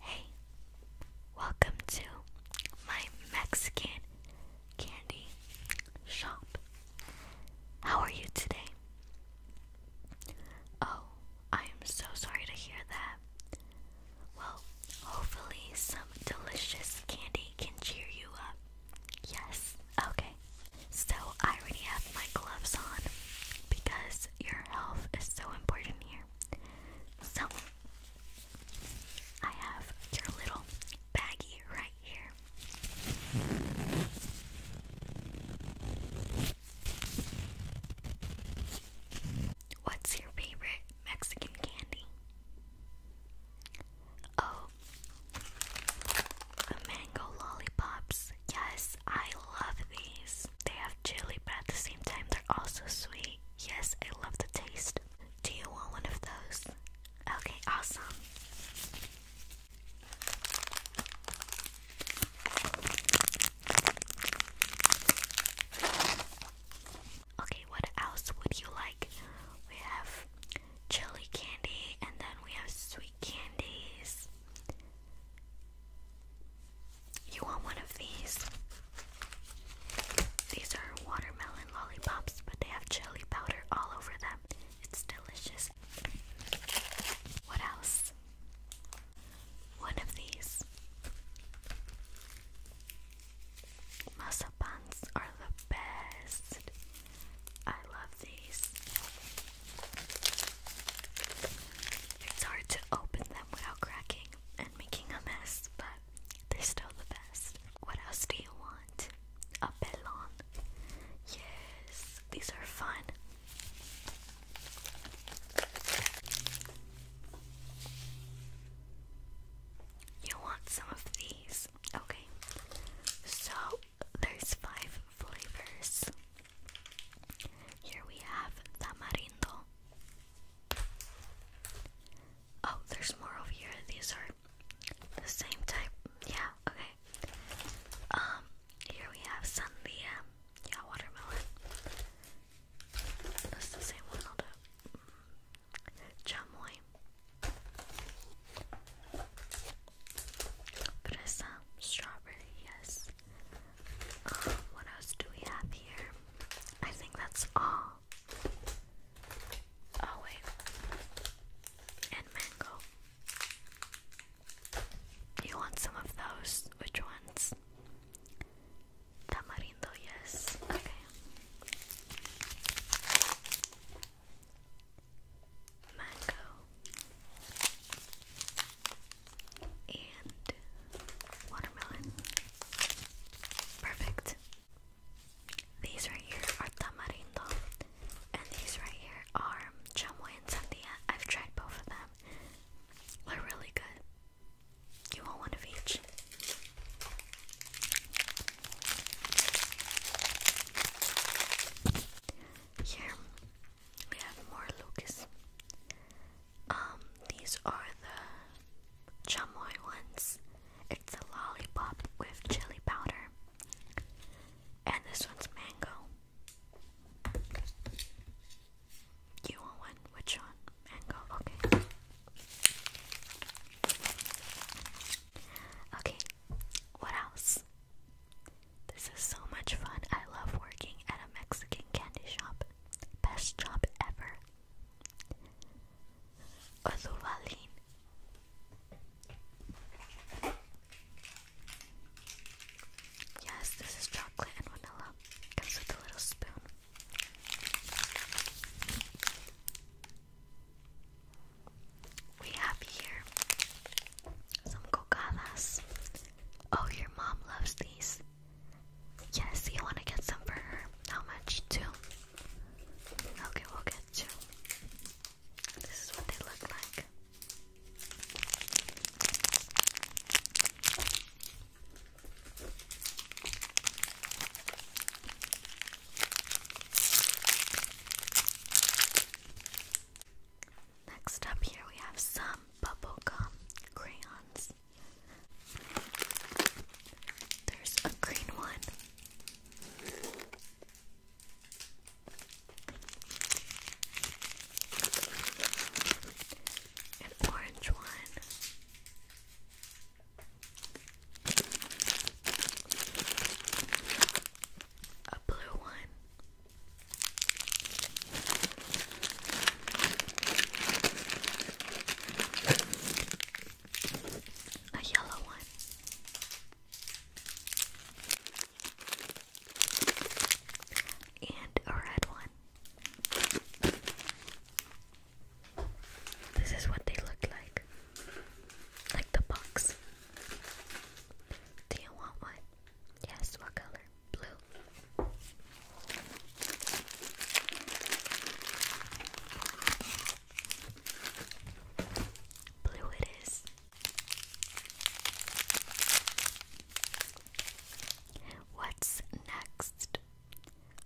Hey, welcome to my Mexican candy shop. How are you today? Oh, I am so sorry to hear that. Well, hopefully, some delicious candy can cheer you up. Yes, okay. So, I already have my gloves on because your health is so important here. So, I have your little baggie right here. What's your favorite Mexican candy? Oh, mango lollipops. Yes, I love these. They have chili, but at the same time, they're also sweet. Yes, I love the taste. Do you want one of those? Okay, awesome. Okay, what else would you like? We have chili candy and then we have sweet candies. You want one of these? These are watermelon lollipops, but they have chili powder all over them. It's delicious. What else? One of these. Masa buns are the best. I love these. It's hard to open them without cracking and making a mess, but they're still the best. What else do you want? A pelon. Yes, these are fun. You want some of these? Okay. So there's five flavors. Here we have tamarindo. Oh, there's more over here. These are the same type. Yeah, okay. Um, here we have sandia. Yeah, watermelon. That's the same one, i Presa, um, strawberry, yes. Um, what else do we have here? I think that's all. Oh, wait. And mango. You want some of those? Which ones? Tamarindo, yes. Okay mango, and watermelon. Perfect. These right here are tamarindo, and these right here are chamoy and sandia. I've tried both of them. They're really good. You want one of each. Here we have more Lucas. Um, these are the chamoy ones. It's a lollipop with chili powder. And this one's mango. You want one? Which one? Mango, okay. Okay, what else? This is so much fun. I love working at a Mexican candy shop. Best job ever. Azuvalin. Yes, this is chocolate and vanilla. Comes with a little spoon. We have here some cocadas. Oh, your mom loves these. Yes, you want to get some for her. How much? Two. Okay, we'll get two. This is what they look like. Next up, here we have some bubblegum crayons. There's a green one. An orange one a blue one. A yellow one. And a red one. This is what they look like. Like the box. Do you want one? Yes, what color? Blue. Blue it is. What's next?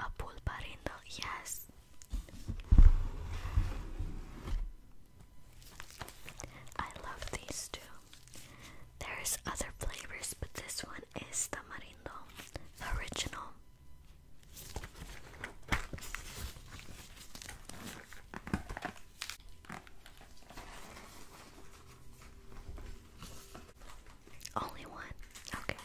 A pulparindo, yes. I love these too. There's other flavors, but this one is tamarindo, the original. Only one. Okay.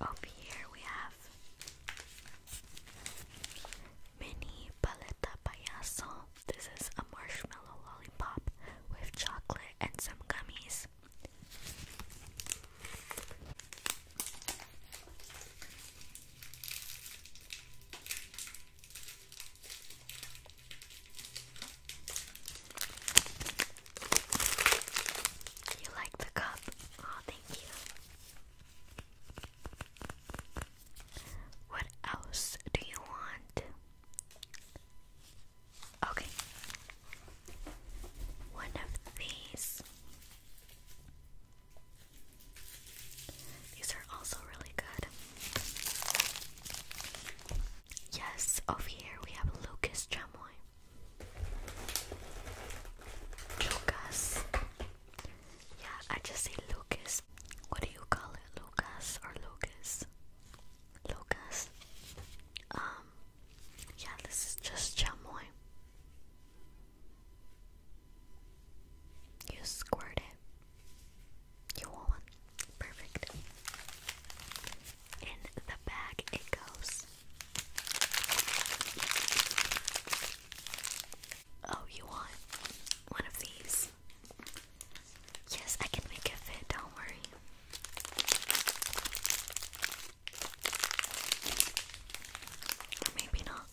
Over here we have mini paleta payaso. This is a marshmallow lollipop with chocolate and some gummies. You like the cup? Oh, thank you. What else do you want? Okay. One of these. These are also really good. Yes, over here we have Lucas Chamoy. Lucas. Yeah, I just say Lucas. What do you call it? Lucas or Lucas? Lucas. Um, yeah, this is just chamoy. You squirt it. You want Perfect. In the bag it goes. Oh, you want one of these? Yes. I can make it fit, don't worry. maybe not.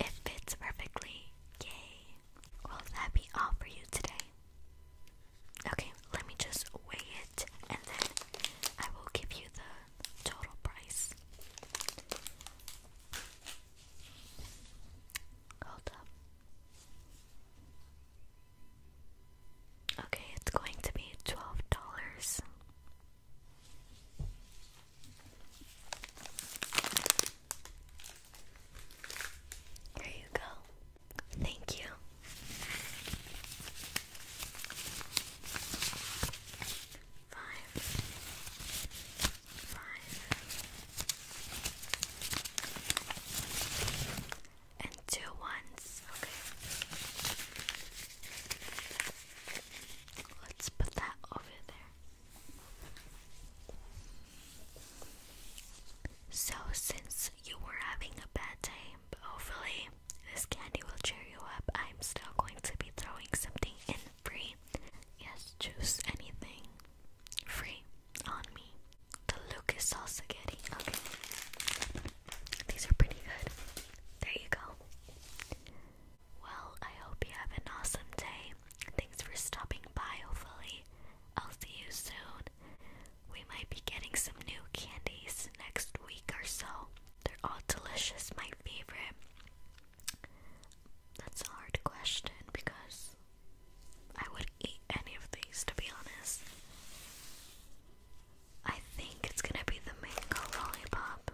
It fits perfectly. Yay. Will that be all for you today? Okay, let me just weigh it and then I will give you the total price. Hold up. Okay, it's going to be twelve dollars. There you go. Thank you. Five. Five. And two ones. Okay. Let's put that over there. So, since you were having a bad time, hopefully this candy will cheer you up. I'm still going to be throwing something in free. Yes, juice, anything. Free. On me. The Lucas salsa getting. Okay. These are pretty good. There you go. Well, I hope you have an awesome day. Thanks for stopping by, hopefully. I'll see you soon. We might be getting some new candies next week or so. They're all delicious, my favorite. That's a hard question because I would eat any of these to be honest. I think it's gonna be the mango lollipop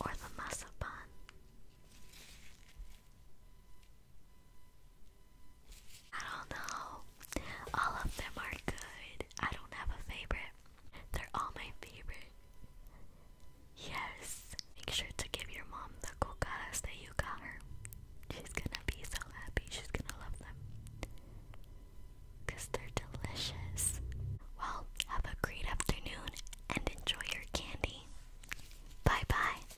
or the masa I don't know. All of them are good. I don't have a favorite. They're all my favorite. Yes. Make sure to give your mom the cocadas that you got her. She's gonna be so happy. She's gonna love them. Because they're delicious. Well, have a great afternoon and enjoy your candy. Bye bye.